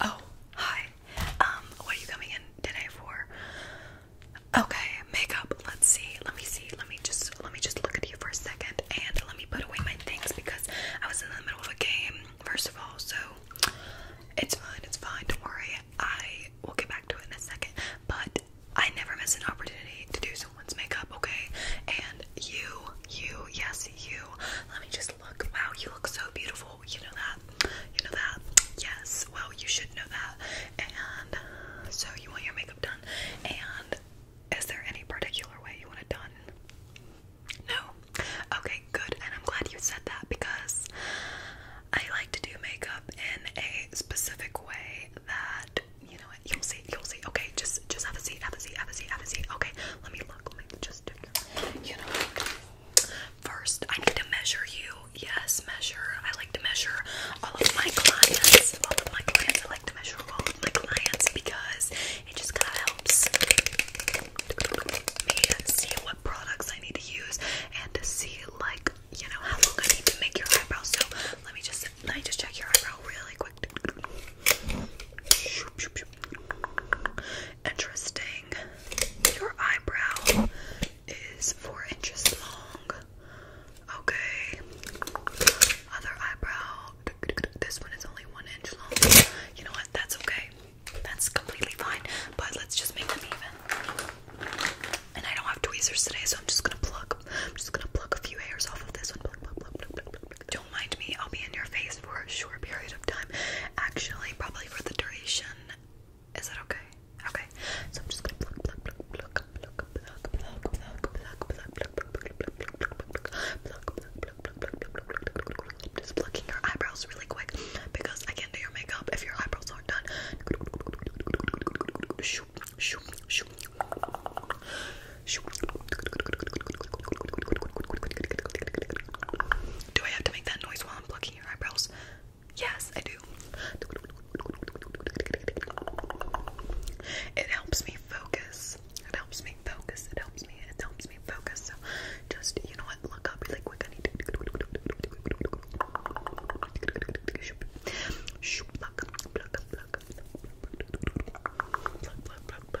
Oh, hi. Um, what are you coming in today for? Okay, makeup. Let's see. Let me see. Let me just let me just look at you for a second and let me put away my things because I was in the middle of a game, first of all, so it's fine, it's fine, don't worry. I will get back to it in a second. But I never miss an opportunity to do someone's makeup, okay? And you, you, yes, you. Let me just look. Wow, you look so beautiful oh, you know that, you know that, yes, well, you should know that, and so you want your makeup done, and is there any particular way you want it done? No? Okay, good, and I'm glad you said that, because I like to do makeup in a specific way that, you know what, you'll see, you'll see, okay, just, just have a seat, have a seat, have a seat, have a seat, okay, let me look, let me just do first I need to measure you. Yes, measure. I like to measure all of my clients. All of my clients. I like to measure all of my clients because it just kind of helps me see what products I need to use and to see like you know how long I need to make your eyebrows. So let me just let me just check your eyebrow really quick much. Interesting. Your eyebrow is four inches long. Okay. Other eyebrow. This one is only one inch long. You know what? That's okay. That's completely fine. But let's just make them even. And I don't have tweezers today, so I'm just gonna pluck. I'm just gonna pluck a few hairs off of this one. Pluck, pluck, pluck, pluck, pluck, pluck. Don't mind me. I'll be in your face for a short period of time, actually probably for the duration. Is that okay? Okay. So I'm just gonna pluck pluck pluck pluck pluck pluck pluck pluck pluck pluck pluck I'm just plucking your eyebrows really quick because I can't do your makeup if your eyebrows aren't done. Shoop shoop shoop shoop do I have to make that noise while I'm plucking your eyebrows? Yes, I do. It helps me focus. It helps me focus. It helps me. It helps me focus. So just, you know what? Look up really quick. I pluck, pluck, pluck, pluck, pluck, pluck, pluck, pluck, pluck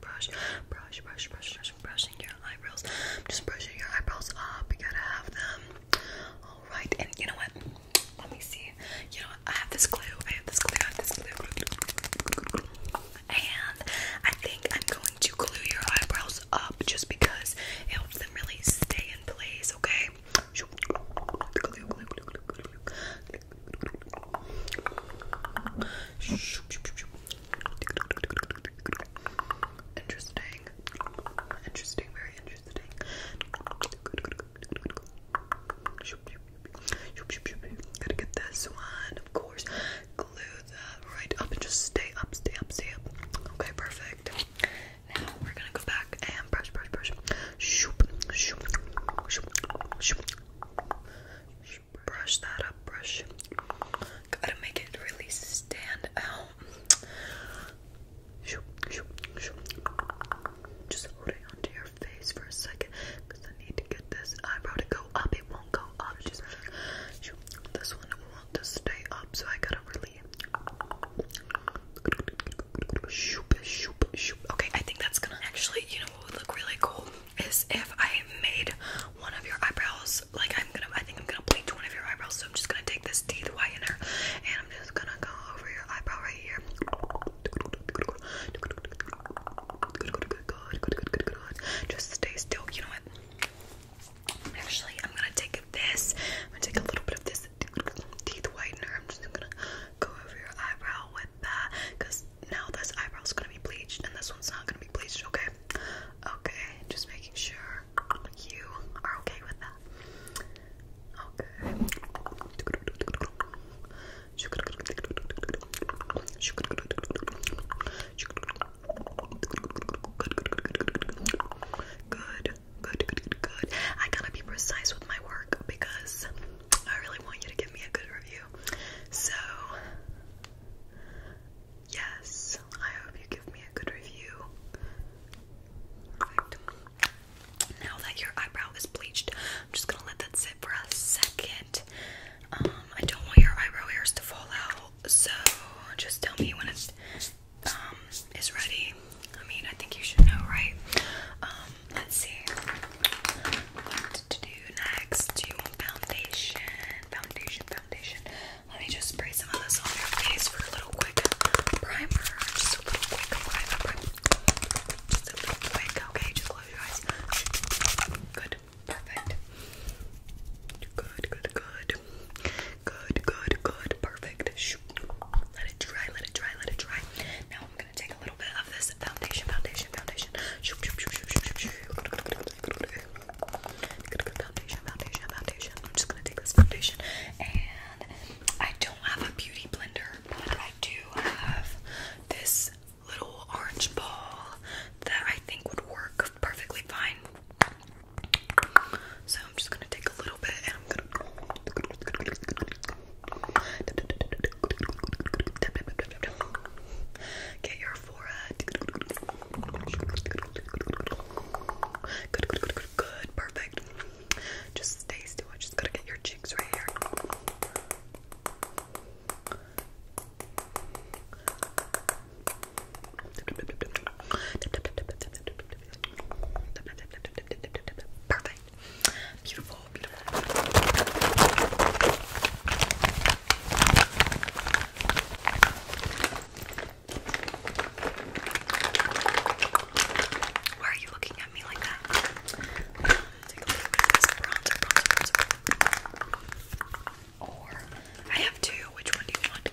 brush, brush, brush, brush, brush, brushing your eyebrows. Just brushing your eyebrows up. You gotta have them. All right. And you know what? Let me see. You know I have this glue. I have this glue. I have this glue. And I think I'm going to glue your eyebrows up just because it helps them really stay in place. Okay. Interesting. Interesting, very interesting. Gotta get this one, of course. Glue that right up and just stay up, stay up, stay up. Okay, perfect. Now we're gonna go back and brush, brush, brush. Shoop, shoop, shoop, shoop. Shoop, brush, that up, brush. Gotta make it really stand out. Just hold onto your face for a second, I need to get this eyebrow to go up. It won't go up. Just this one wants to stay up, so I gotta really. Okay, I think that's gonna actually. You know what would look really cool is if I made one of your eyebrows like I'm gonna I think I'm gonna bleach one of your eyebrows so I'm just gonna take this teeth whitener and I'm just gonna go over your eyebrow right here just stay still you know what actually I'm gonna take this I'm gonna take a little bit of this teeth whitener I'm just gonna go over your eyebrow with that because now this eyebrow is gonna be bleached and this one's not gonna be bleached, okay? Okay, just making sure you are okay with that. Okay. Good, good, good, good. I gotta be precise with my work because I really want you to give me a good review. So Yes, I hope you give me a good review. Now that your eyebrow is bleached, I'm just gonna let that sit for a second. Um, I don't want your eyebrow hairs to fall out, so just tell me when it's um is ready. I mean, I think you should know, right? Um, let's see what to do next. Do you want foundation? Foundation, foundation. Let me just spray some of this on your face for a little quick primer. Just a little quick primer. primer. Just a little quick. Okay, just close your eyes. Good. Perfect. Good, good, good. Good, good, good. Perfect. Let it dry, let it dry, let it dry. Now I'm gonna take a little bit of this foundation, foundation, foundation. Foundation, foundation, foundation. I'm just gonna take this foundation, and I don't have a beauty blender, but I do have this little orange ball that I think would work perfectly fine. So I'm just gonna take a little bit, and I'm gonna. Get your forehead. Good, Perfect. Just stay still. just gotta get your cheeks right here. Perfect. Beautiful. Why are you looking at me like that? I have two. Which one do you want?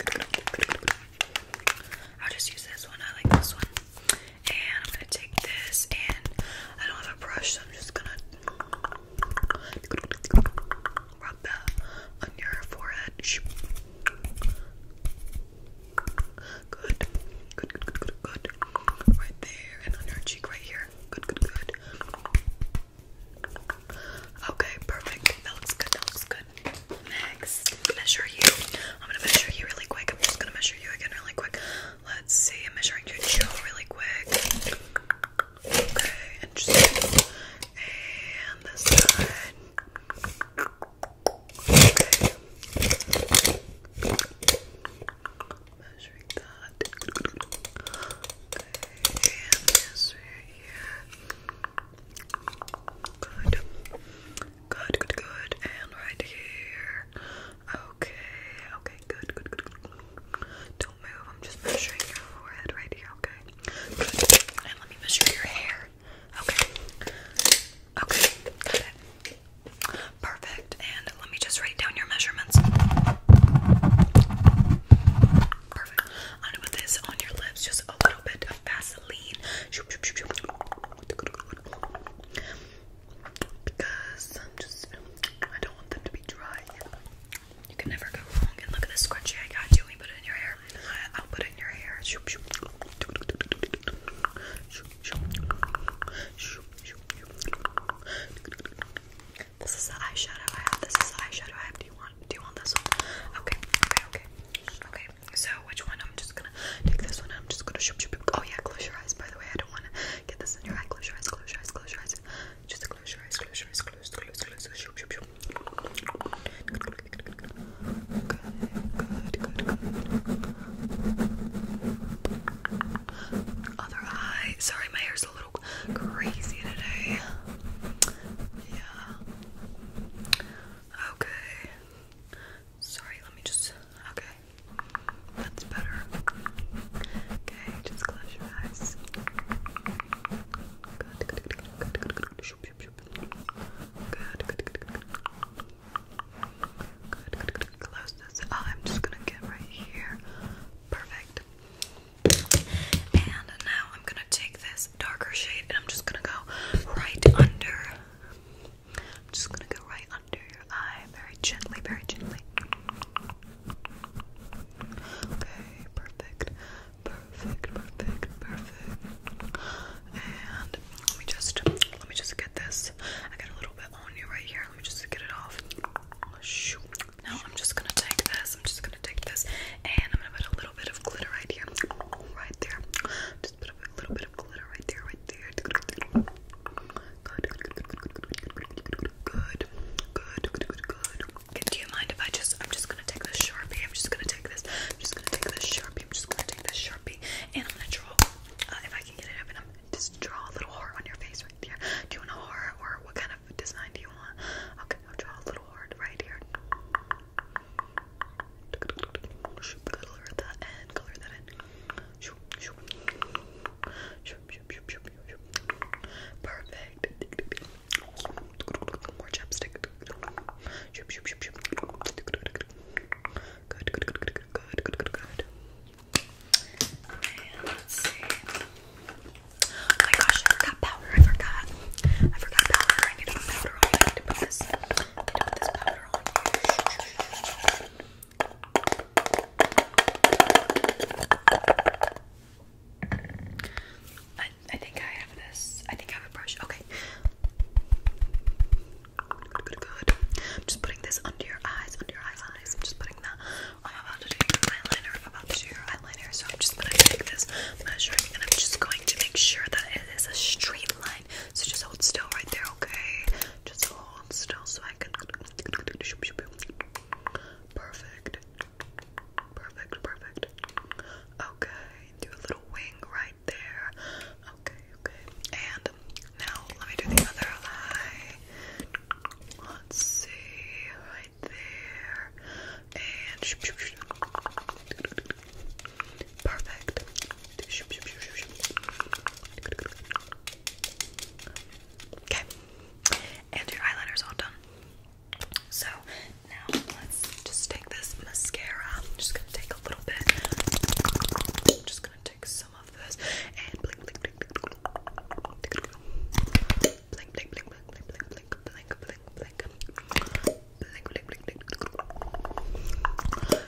I'll just use this one. I like this one. And I'm gonna take this, and I don't have a brush, so I'm just gonna Rub that on your forehead. Good. Good, good, good, good, good. Right there and on your cheek right here. Good, good, good. Okay, perfect. That looks good. That looks good. Next, measure you. I'm gonna measure you really quick. I'm just gonna measure you again really quick. Let's see. I'm measuring your jaw really quick. Okay, interesting. And this side. Okay. Measuring that. and this right here. Good. Good, good, good. And right here. Okay, okay, good, good, good, Don't move, I'm just measuring your forehead right here, okay? And let me measure your hair. Okay. Okay, Perfect. And let me just write down your measurements. Perfect. I'm gonna put this on your lips, just a little bit of Vaseline because i don't want them to be dry. You can never go wrong. look at this scrunchie I got you. We put it in your hair. I'll put it in your hair. This is the eyeshadow I have. This is the eyeshadow I have. Do you want do you want this one? Okay, okay, okay. Okay. So which one? I'm just gonna take this one. I'm just gonna shoop shoop. Oh yeah, close your eyes by the way. I don't wanna Get this in your eye. Close your eyes, close your eyes, close your eyes. Just close your eyes, close your eyes, close, close, close. Shoop, shoop, shoop. Good, good, good, good. Other eye. Sorry, my hair's a little crazy today. Yeah. Okay. Sorry, let me just. Okay. That's better. Okay, just close your eyes. Good, good, good, good, good, good, good. Good, good, good, Close this. Oh, I'm just gonna get right here. Perfect. And now I'm gonna take this darker shade and I'm just gonna go right under I'm just gonna go right under your eye, very gently, very gently. Okay, perfect, perfect, perfect, perfect. And let me just, let me just get this. I got a little bit on you right here. Let me just get it off. Now I'm just gonna take this. I'm just gonna take this, and I'm gonna put a little bit of glitter right here, right there. Just put a little bit of glitter right there, right there. Good, good, good, good, good, good, good, good, good, good. Do you mind if I just? I'm just gonna take this sharpie. I'm just gonna take this. I'm just gonna take this sharpie. I'm just gonna take this sharpie, and I'm gonna draw. Uh, if I can get it open, I'm just draw a little heart on your face right there. Do you want a heart, or what kind of design do you want? Okay, I'll draw a little heart right here. Color that in. Color that in. Perfect. More chapstick. Good, good, good, good, good, good, good, good. Okay, let's see. Oh my gosh, I forgot powder. I forgot. I forgot powder. I need to put powder on. I need to put this. I need to put this powder on. I, think I have this. I think I have a brush. Okay. Good, good. am just putting this under your eyes, under your eyes, eyes. I'm just putting that. I'm about to do your eyeliner. I'm about to do your eyeliner. So I'm just going to take this measure and I'm just going to make sure that it is a straight line. So just hold still right there, okay? Just hold still so I can. Perfect. Perfect, perfect. Okay, do a little wing right there. Okay, okay. And now let me do the other eye. Let's see, right there. And perfect. Okay, and your eyeliner's all done. So now let's just take this mascara. just gonna take a little bit. just gonna take some of this and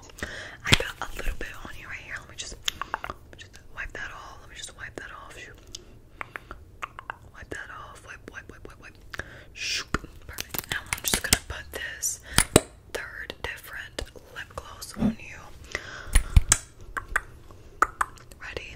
I got a little bit on you right here. Let me just, wipe that off. Let me just wipe that off. Wipe that off. Wipe, wipe, wipe, wipe, wipe. Perfect. Now I'm just gonna put this third different lip gloss on you. Ready?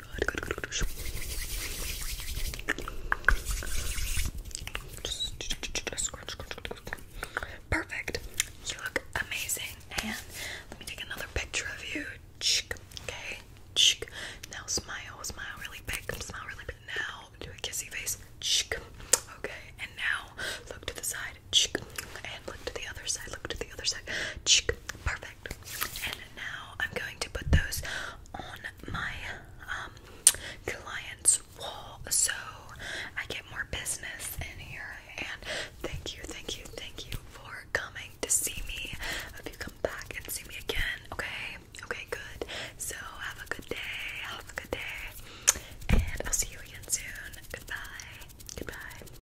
Perfect. You look amazing. And let me take another picture of you. Okay. Now smile, smile really big. Come Smile really big. Now do a kissy face. Okay. And now look to the side. And look to the other side. Look to the other side. Perfect. And now I'm going to put those on my um, client's wall so I get more business in here. And thank you, thank you, thank you for coming to see me. If you come back and see me again, okay? Okay, good. So have a good day. Have a good day. And I'll see you again soon. Goodbye. Goodbye.